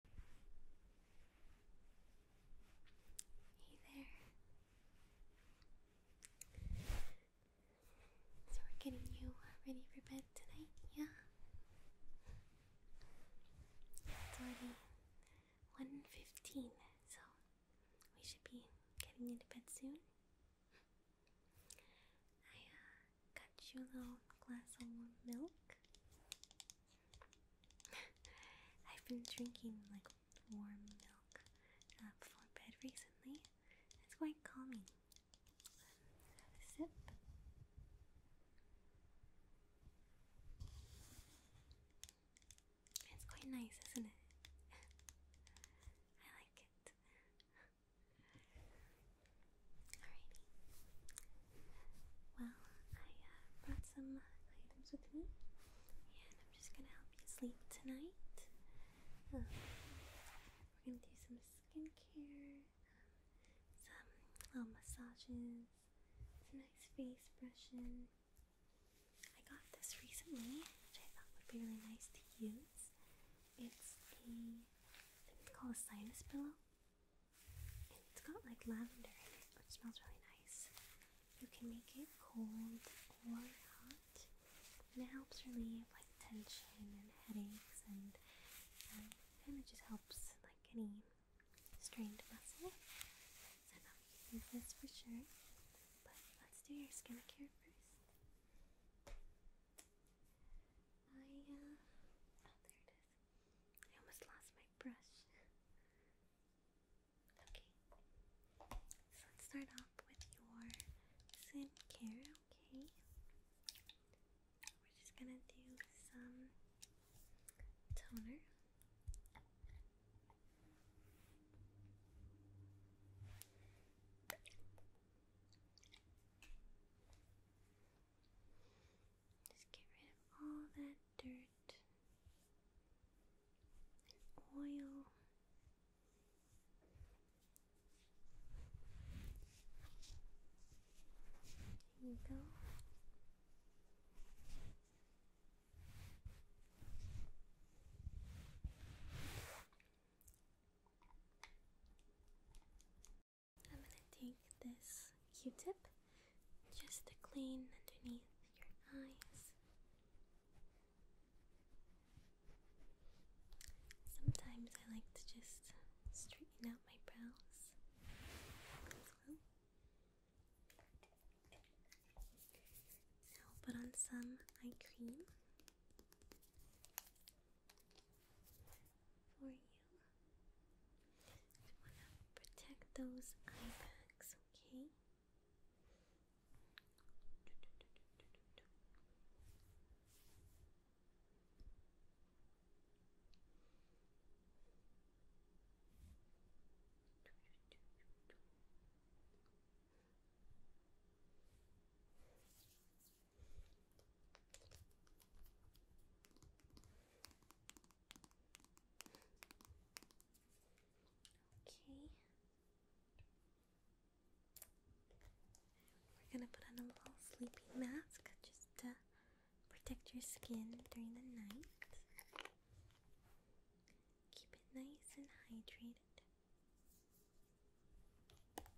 Hey there. So we're getting you uh, ready for bed tonight, yeah? It's already 1.15, so we should be getting you bed soon. I uh, got you a little glass of milk. I've been drinking like warm milk uh, before bed recently. It's quite calming. sip. It's quite nice, isn't it? I like it. Alrighty. Well, I uh, brought some uh, items with me, and I'm just gonna help you sleep tonight. Um, we're gonna do some skincare, um, some little massages, some nice face brushing. I got this recently, which I thought would be really nice to use. It's the, thing called a sinus pillow. It's got like lavender in it, which smells really nice. You can make it cold or hot, and it helps relieve like tension and headaches, and um, kind just helps like any strained muscle. So now you can use this for sure. But let's do your skincare first. I uh, oh, there it I almost lost my brush. okay, so let's start off with your skincare, okay? We're just gonna do some toner. Just get rid of all that dirt and oil. There you go. I'm gonna take this Q-tip just to clean underneath your eyes. Sometimes I like to just straighten out my brows Now I'll put on some eye cream for you. You wanna protect those eye bags, okay? Okay. Okay. We're gonna put on a little sleeping mask just to protect your skin during the night. Keep it nice and hydrated.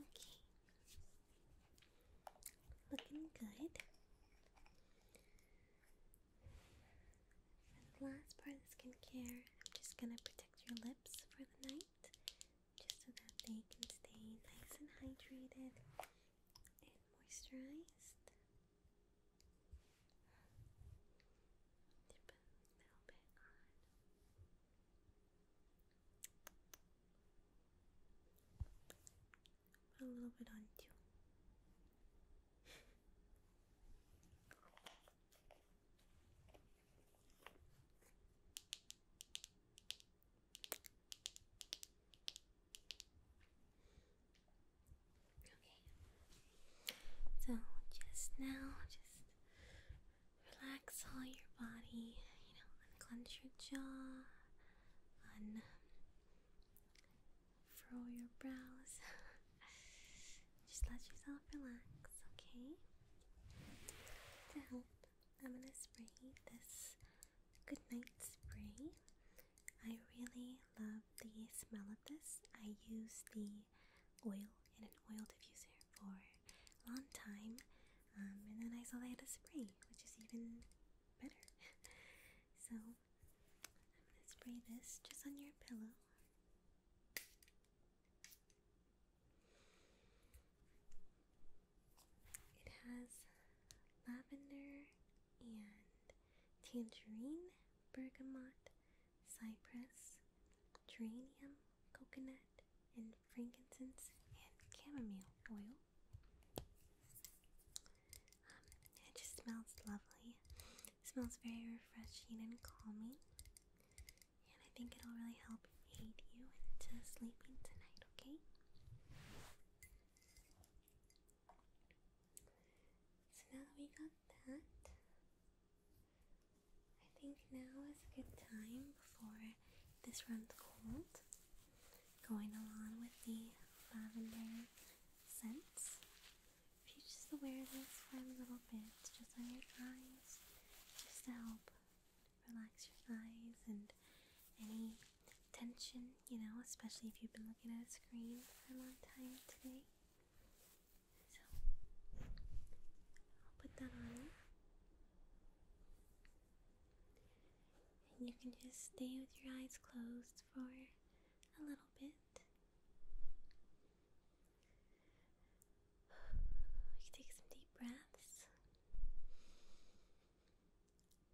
Okay. Looking good. last part of skincare, I'm just gonna protect your lips for the night just so that they can stay nice and hydrated and moisturized. Dip a little bit on. Put Okay. So just now, just relax all your body. You know, unclench your jaw, unfurl your brows. just let yourself relax, okay? To help, I'm gonna spray this Goodnight Spray. I really love the smell of this. I use the oil in an oil diffuser for a long time, um, and then I saw they had a spray, which is even better. so I'm spray this just on your pillow. It has lavender and tangerine bergamot, cypress, geranium, coconut, and frankincense and chamomile oil. Um, it just smells lovely. smells very refreshing and calming. And I think it'll really help aid you into sleeping tonight, okay? So now that we got that, I think now is a good time before this runs cold. Going along with the lavender scents. If you just wear this for a little bit, just on your eyes, just to help relax your eyes and any tension you know, especially if you've been looking at a screen for a long time today. So, I'll put that on And you can just stay with your eyes closed for a little bit. take some deep breaths.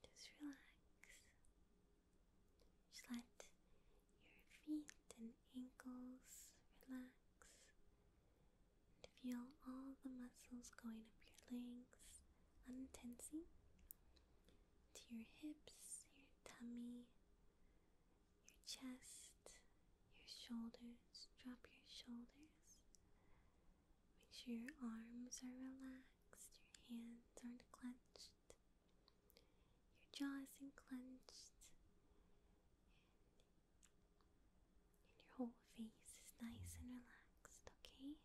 Just relax. Just let your feet and ankles relax and feel all the muscles going up your legs, untensing to your hips, your tummy, your chest, your shoulders. Drop your shoulders. Make sure your arms are relaxed, your hands aren't clenched, your jaw isn't clenched, and, your whole face is nice and relaxed, okay?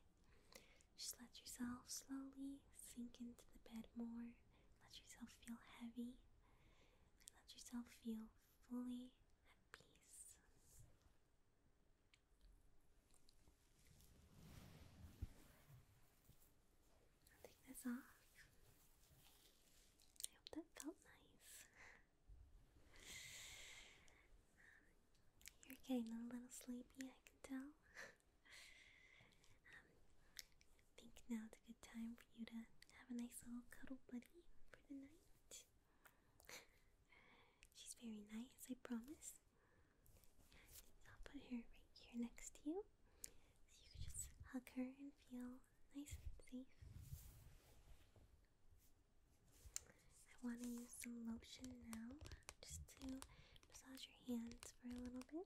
Just let yourself slowly sink into the bed more let yourself feel heavy and let yourself feel fully at peace. I'll take this off. I hope that felt nice. You're getting a little sleepy, I can tell. I think now's a good time for you to have a nice little cuddle buddy for the night. She's very nice, I promise. I'll put her right here next to you. So you can just hug her and feel nice and safe. I want to use some lotion now just to massage your hands for a little bit.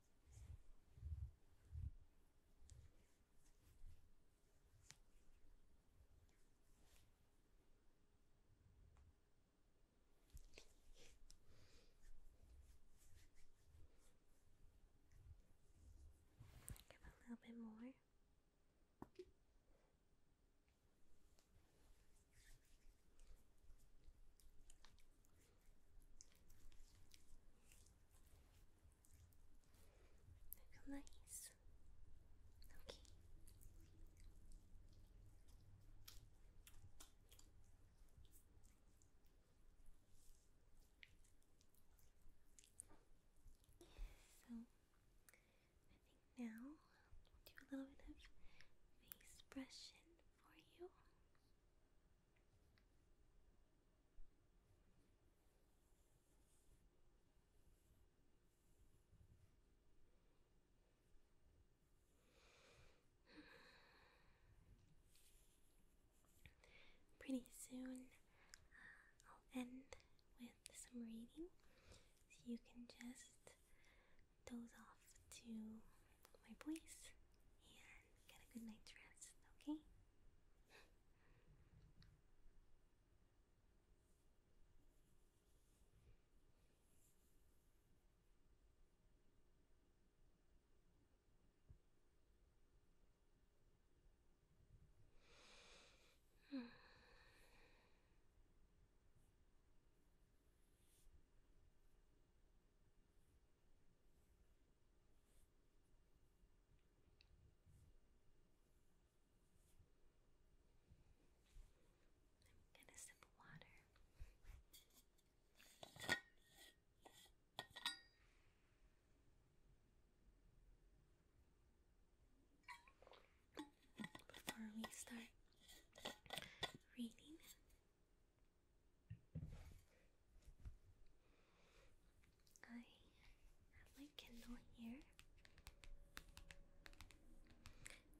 Give a little bit more. Nice. Okay. So I think now I'll do a little bit of face brushing for you. Pretty soon, uh, I'll end with some reading so you can just doze off to my voice and get a good night's rest, okay? I'm gonna sip water. Before we start reading, I have my Kindle here.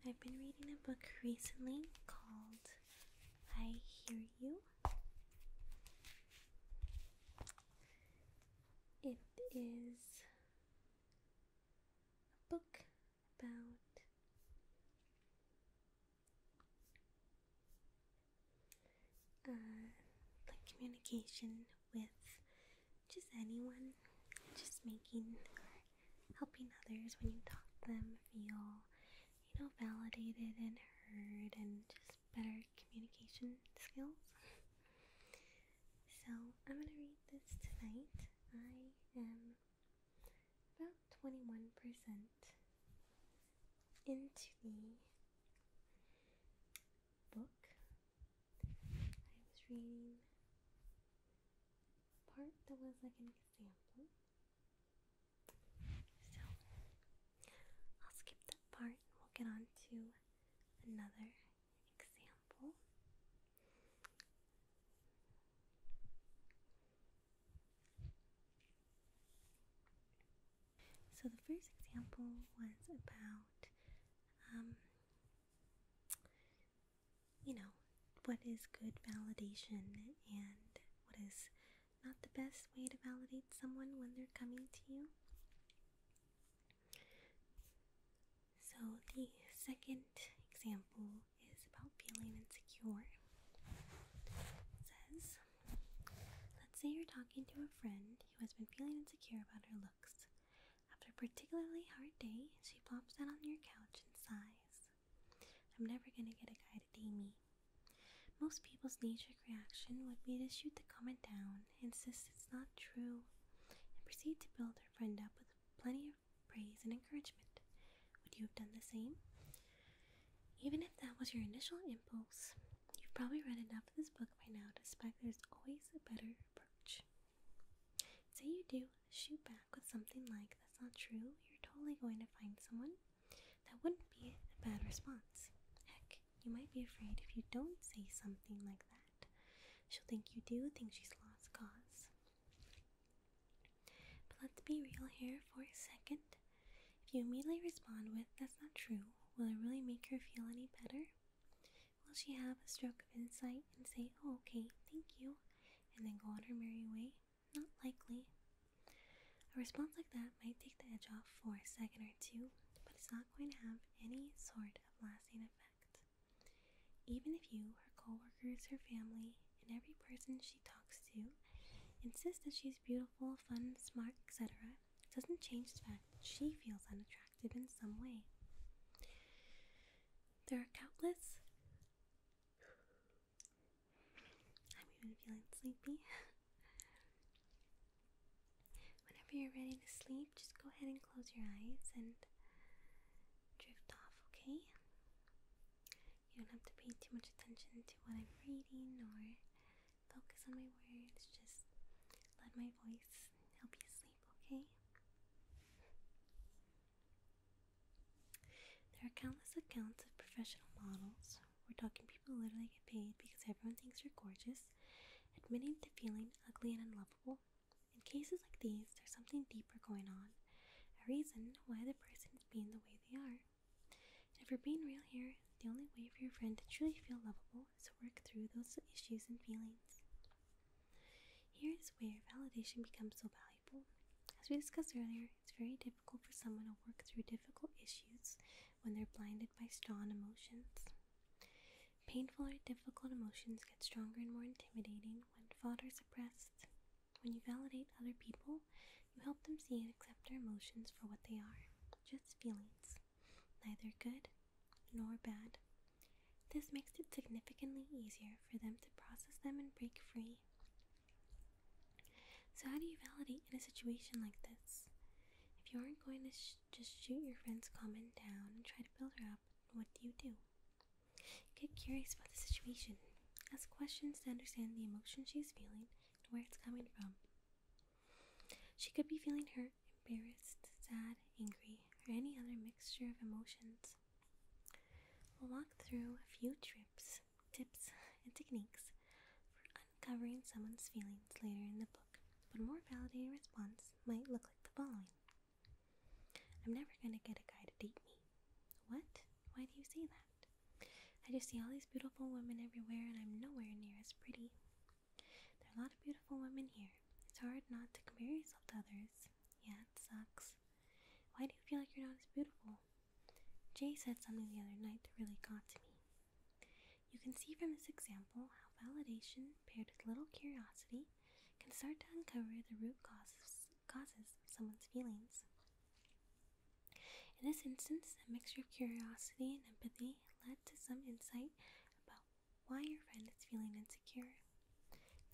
I've been reading a book recently called I Hear You. It is a book about uh, like communication with just anyone, just making or helping others when you talk to them feel, you know, validated and heard, and just better communication skills. So, I'm gonna read this tonight. I am about 21% into the book. I was reading part that was like an example. So I'll skip that part we'll get on to another example. So the first example was about, um, you know, what is good validation and what is not the best way to validate someone when they're coming to you. So the second example is about feeling insecure. says, let's say you're talking to a friend who has been feeling insecure about her looks. After a particularly hard day, she plops down on your couch and sighs. I'm never gonna get a guy to date me. Most people's knee-jerk reaction would be to shoot the comment down, insist it's not true, and proceed to build her friend up with plenty of praise, and encouragement, would you have done the same? Even if that was your initial impulse, you've probably read enough of this book by now to suspect there's always a better approach. Say you do shoot back with something like, that's not true, you're totally going to find someone. That wouldn't be a bad response. Heck, you might be afraid if you don't say something like that. She'll think you do, think she's lost cause. But let's be real here for a second. If you immediately respond with, that's not true, will it really make her feel any better? Will she have a stroke of insight and say, oh, okay, thank you, and then go on her merry way? Not likely. A response like that might take the edge off for a second or two, but it's not going to have any sort of lasting effect. Even if you, her coworkers, her family, and every person she talks to insists that she's beautiful, fun, smart, etc., doesn't change the fact that she feels unattractive in some way. There are countless. I'm even feeling sleepy. Whenever you're ready to sleep, just go ahead and close your eyes and drift off, okay? You don't have to pay too much attention to what I'm reading or focus on my words. Just let my voice help you sleep, okay? There are countless accounts of professional models. We're talking people literally get paid because everyone thinks you're gorgeous, admitting to feeling ugly and unlovable. In cases like these, there's something deeper going on a reason why the person is being the way they are. And if we're being real here, the only way for your friend to truly feel lovable is to work through those issues and feelings. Here is where validation becomes so valuable. As we discussed earlier, it's very difficult for someone to work through difficult issues when they're blinded by strong emotions. Painful or difficult emotions get stronger and more intimidating when fought or suppressed. When you validate other people, you help them see and accept their emotions for what they are just feelings, neither good nor bad. This makes it significantly easier for them to process them and break free. So, how do you validate in a situation like this? If you aren't going to just shoot your friend's comment down and try to build her up, what do you do? Get curious about the situation. Ask questions to understand the emotion she's feeling and where it's coming from. She could be feeling hurt, embarrassed, sad, angry, or any other mixture of emotions. We'll walk through a few trips, tips, and techniques for uncovering someone's feelings later in the book, but a more validating response might look like the following I'm never going to get a guy to date me. What? Why do you say that? I just see all these beautiful women everywhere and I'm nowhere near as pretty. There are a lot of beautiful women here. It's hard not to compare yourself to others. Yeah, it sucks. Why do you feel like you're not as beautiful? Jay said something the other night that really got to me. You can see from this example how validation paired with little curiosity can start to uncover the root causes causes someone's feelings. In this instance, a mixture of curiosity and empathy led to some insight about why your friend is feeling insecure.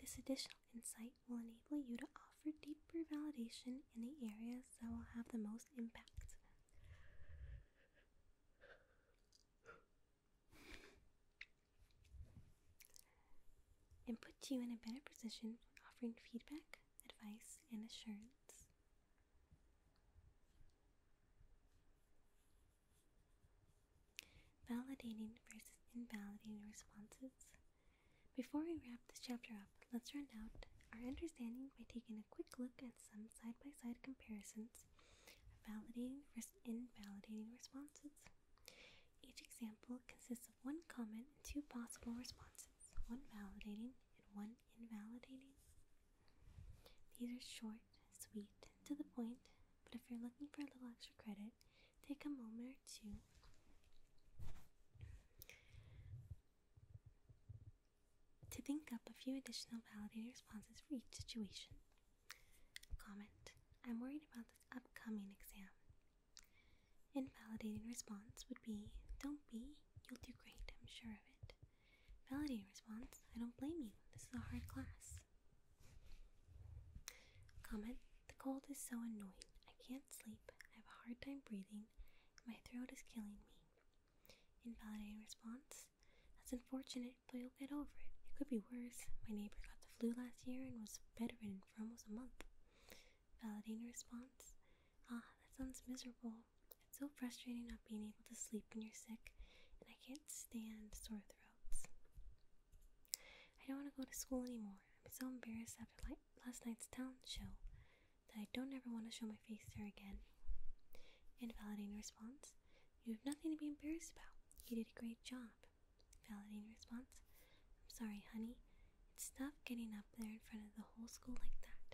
This additional insight will enable you to offer deeper validation in the areas that will have the most impact and put you in a better position for offering feedback, advice, and assurance. Validating versus invalidating responses. Before we wrap this chapter up, let's round out our understanding by taking a quick look at some side by side comparisons of validating versus invalidating responses. Each example consists of one comment and two possible responses, one validating and one invalidating. These are short, sweet, to the point, but if you're looking for a little extra credit, take a moment or two to think up a few additional validating responses for each situation. Comment I'm worried about this upcoming exam. Invalidating response would be, Don't be, you'll do great, I'm sure of it. Validating response, I don't blame you, this is a hard class. Comment, the cold is so annoying, I can't sleep, I have a hard time breathing, my throat is killing me. Invalidating response, that's unfortunate, but you'll get over it. It could be worse. My neighbor got the flu last year and was better in for almost a month. Validating response Ah, that sounds miserable. It's so frustrating not being able to sleep when you're sick, and I can't stand sore throats. I don't want to go to school anymore. I'm so embarrassed after last night's town show that I don't ever want to show my face there again. Invalidating response You have nothing to be embarrassed about. You did a great job. Validation response. I'm sorry, honey. It's tough getting up there in front of the whole school like that,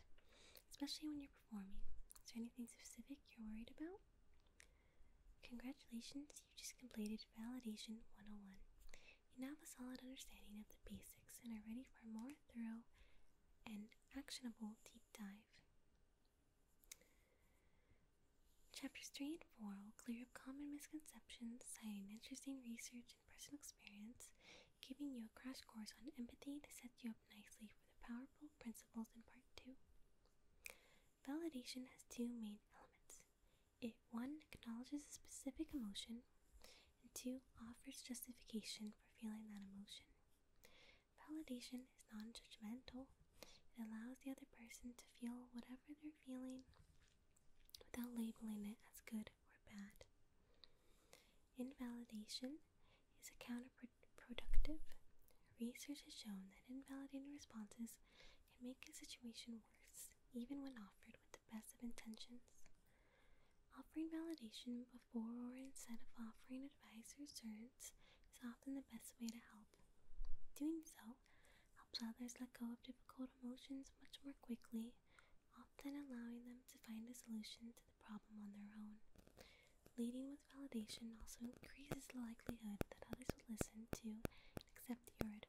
especially when you're performing. Is there anything specific you're worried about? Congratulations, you have just completed Validation 101. You now have a solid understanding of the basics and are ready for a more thorough and actionable deep dive. Chapters 3 and 4 will clear up common misconceptions, citing interesting research and personal experience, giving you a crash course on empathy to set you up nicely for the powerful principles in Part 2. Validation has two main elements it 1 acknowledges a specific emotion, and 2 offers justification for feeling that emotion. Validation is non judgmental it allows the other person to feel whatever they're feeling without labeling it as good or bad. Invalidation is counterproductive. Research has shown that invalidating responses can make a situation worse, even when offered with the best of intentions. Offering validation before or instead of offering advice or assurance is often the best way to help. Doing so helps others let go of difficult emotions much more quickly, often allowing them to find a solution to the problem on their own. Leading with validation also increases the likelihood that others will listen to and accept your advice.